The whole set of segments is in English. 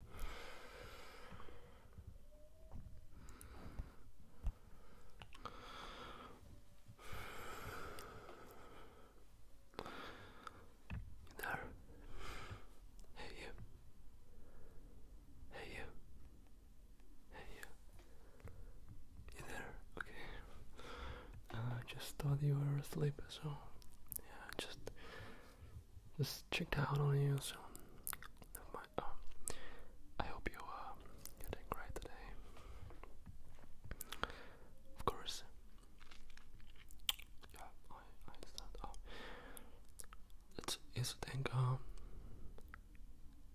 You there? Hey you. Hey you. Hey you. You there? Okay. Uh, I just thought you were asleep, so yeah, just just checked out on you so. Oh. I hope you are uh, getting great today. Of course. Yeah, I, I understand. Oh. It's easy think, um,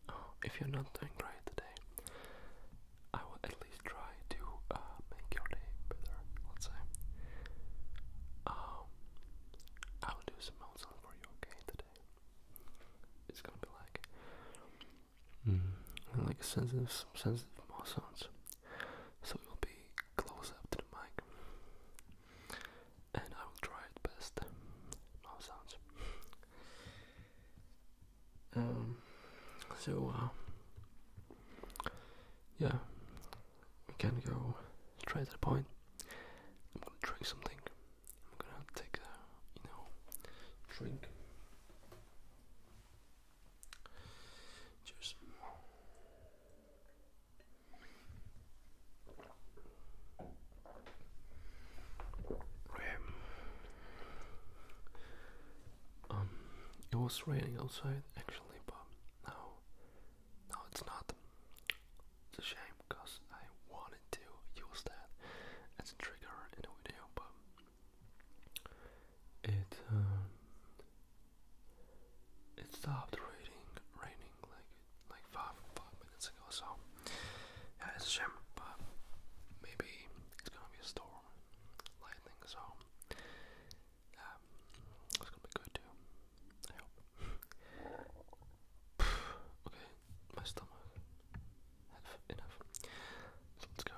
oh, if you're not doing great today, I will at least try to uh, make your day better, let's say. Um, I will do some sounds for you, okay? Today, it's gonna be like, mm, like sensitive, some sensitive mouth sounds. So it will be close up to the mic, and I will try it best mouth sounds. Um. So. Uh, yeah, we can go straight to the point. I'm gonna drink something. I'm gonna take a, you know, drink. Cheers. Um, it was raining outside actually, but now no, it's not. It's a shame because I wanted to use that as a trigger in the video, but it um, it stopped raining, raining like like five five minutes ago. So yeah, it's a shame, but maybe it's gonna be a storm, lightning. So um, that's gonna be good too. I hope. okay, my stomach. Enough. Enough. So let's go.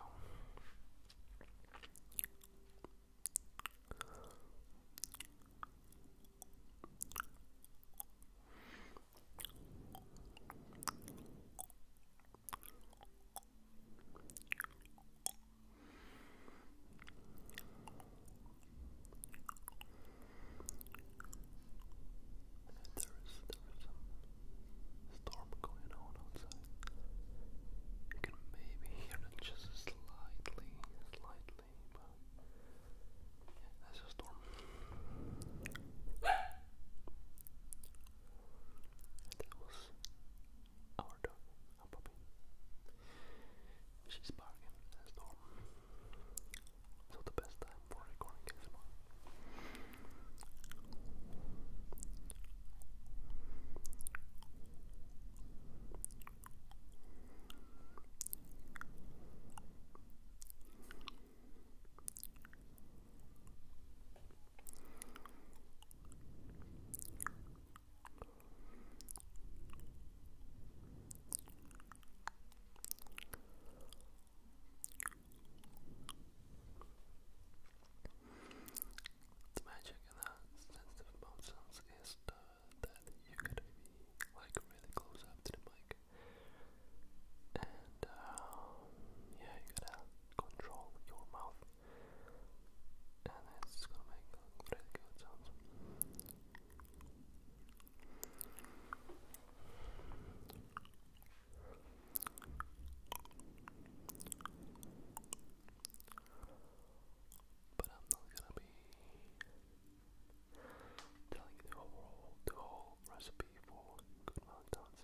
There is some storm going on outside. You can maybe hear it just slightly, slightly, but yeah, a storm our dog, puppy. She's barking as normal. So the best time for recording is the magic in that sensitive mouth is that you could be like really close up to the mic. And uh, yeah, you gotta control your mouth and it's gonna make really good sounds. But I'm not gonna be telling you the whole recipe for good mountains.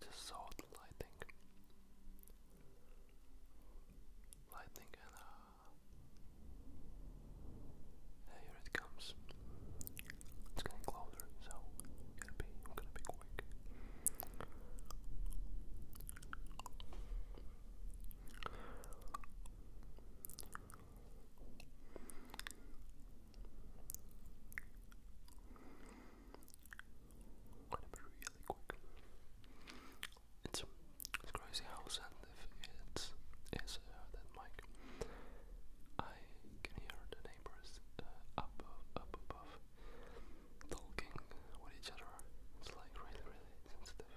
Just saw the lighting. Lightning and uh here it comes. It's getting closer, so gonna be I'm gonna be quick going really quick. It's, it's crazy how sensitive it is uh, that mic. I can hear the neighbors uh, up, up above talking with each other. It's like really, really sensitive.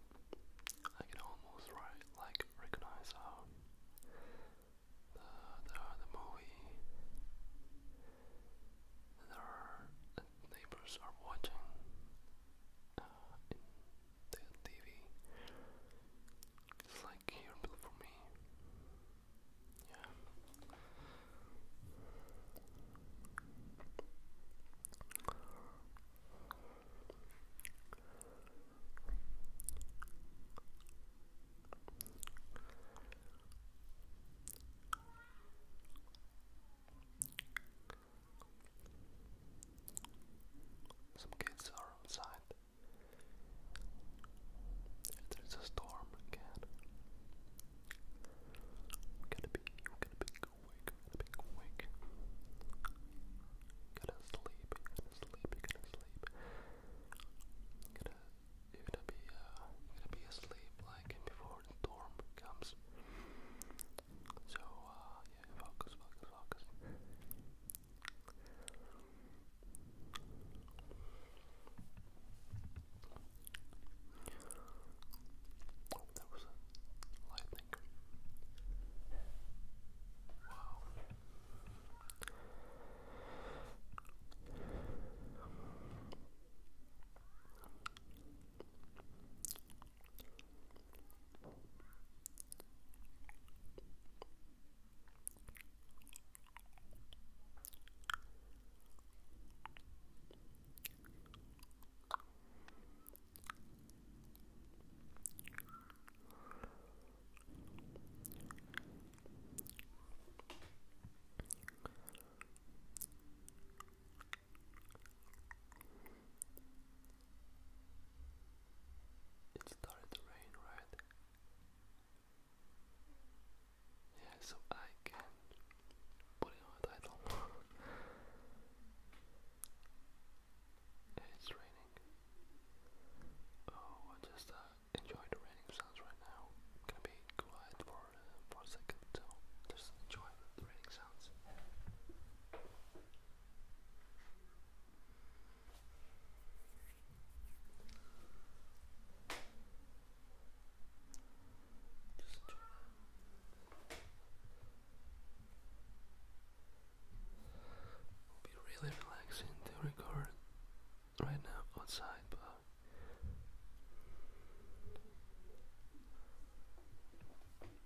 I can almost right like recognize how the the the movie their neighbors are watching uh, in the TV. It's like here for me. Yeah. Some kids are outside. There's a storm again. We're gonna be, we're gonna be big wig, a big wig. to sleep, gotta sleep, gotta sleep. Gotta, you gonna be, uh, gonna be asleep like before the storm comes. So, uh, yeah, focus, focus, focus. Oh, that was a lightning. Wow. It started to rain, right? Yeah, so I can put it on a title. it's raining. Oh, I just uh, enjoy the raining sounds right now. i be quiet for, uh, for a second, just enjoy the raining sounds. Just It'll be really relaxing to record right now outside, but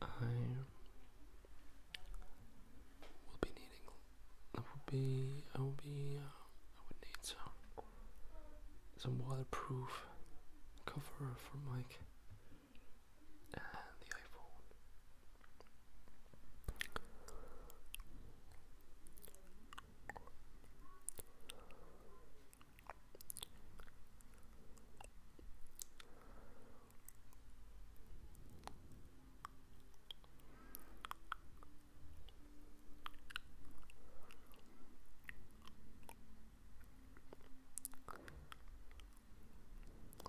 I will be needing. I will be. I will be. Uh, I would need some some waterproof cover for Mike and the iPhone.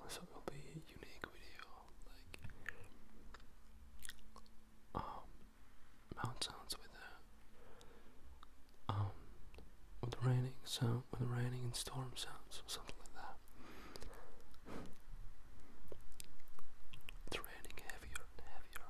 So it'll be a unique video, like um mount sounds with a um with raining sound with raining and storm sounds or something like that. It's raining heavier and heavier.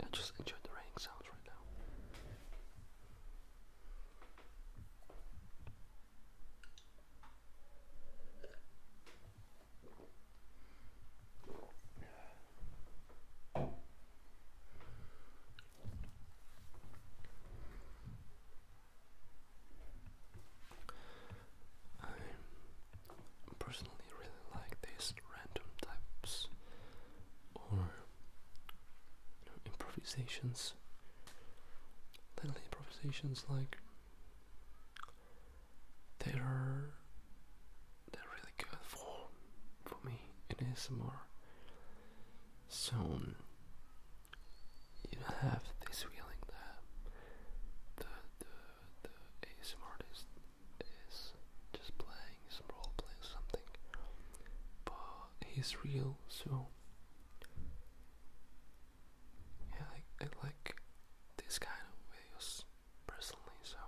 I just enjoy the rain sounds right now. I personally really like these random types or improvisations. Little improvisations like they're they're really good for for me in ASMR. So you have this feeling that the the the ASMR is just playing role playing something, but he's real, so yeah, I, like this kind of videos personally. So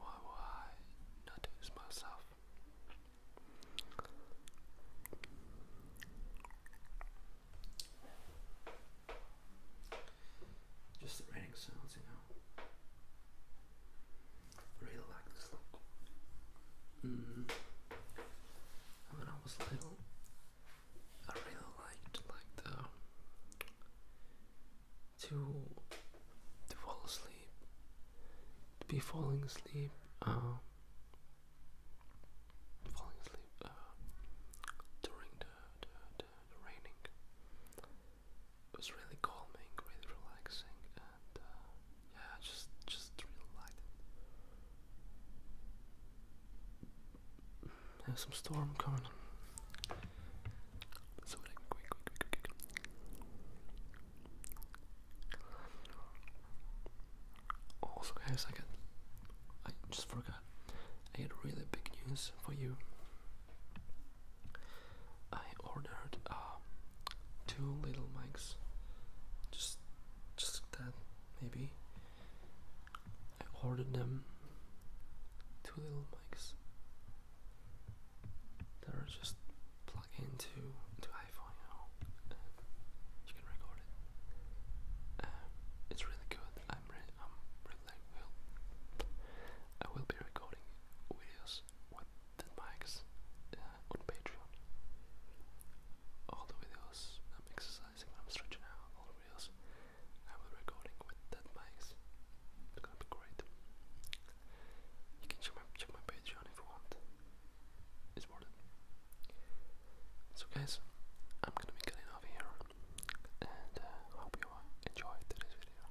why why not do this myself? Just the raining sounds, you know. I really like this look. Mm. When I was little, I really liked like the to to fall asleep, to be falling asleep. Uh, falling asleep uh, during the, the, the, raining. was really calming, really relaxing, and uh, yeah, just just really liked There's some storm coming. So quick, quick, quick, quick, quick. Also guys I got I just forgot I had really big news for you. I ordered uh, two little mics just just that maybe I ordered them two little mics that are just plug into into iPhone, you know, you can record it. Um, it's really good. I'm really, I'm really will I will be recording videos with the mics uh, on Patreon. All the videos I'm exercising, I'm stretching out. All the videos I will recording with that mics. It's gonna be great. You can check my Patreon if you want. It's worth it. So guys, I'm gonna be cutting off here, and uh, hope you enjoyed today's video.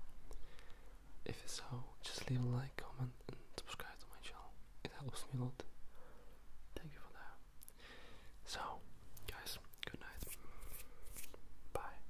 If so, just leave a like, comment, and subscribe to my channel. It helps me a lot. Thank you for that. So, guys, good night. Bye.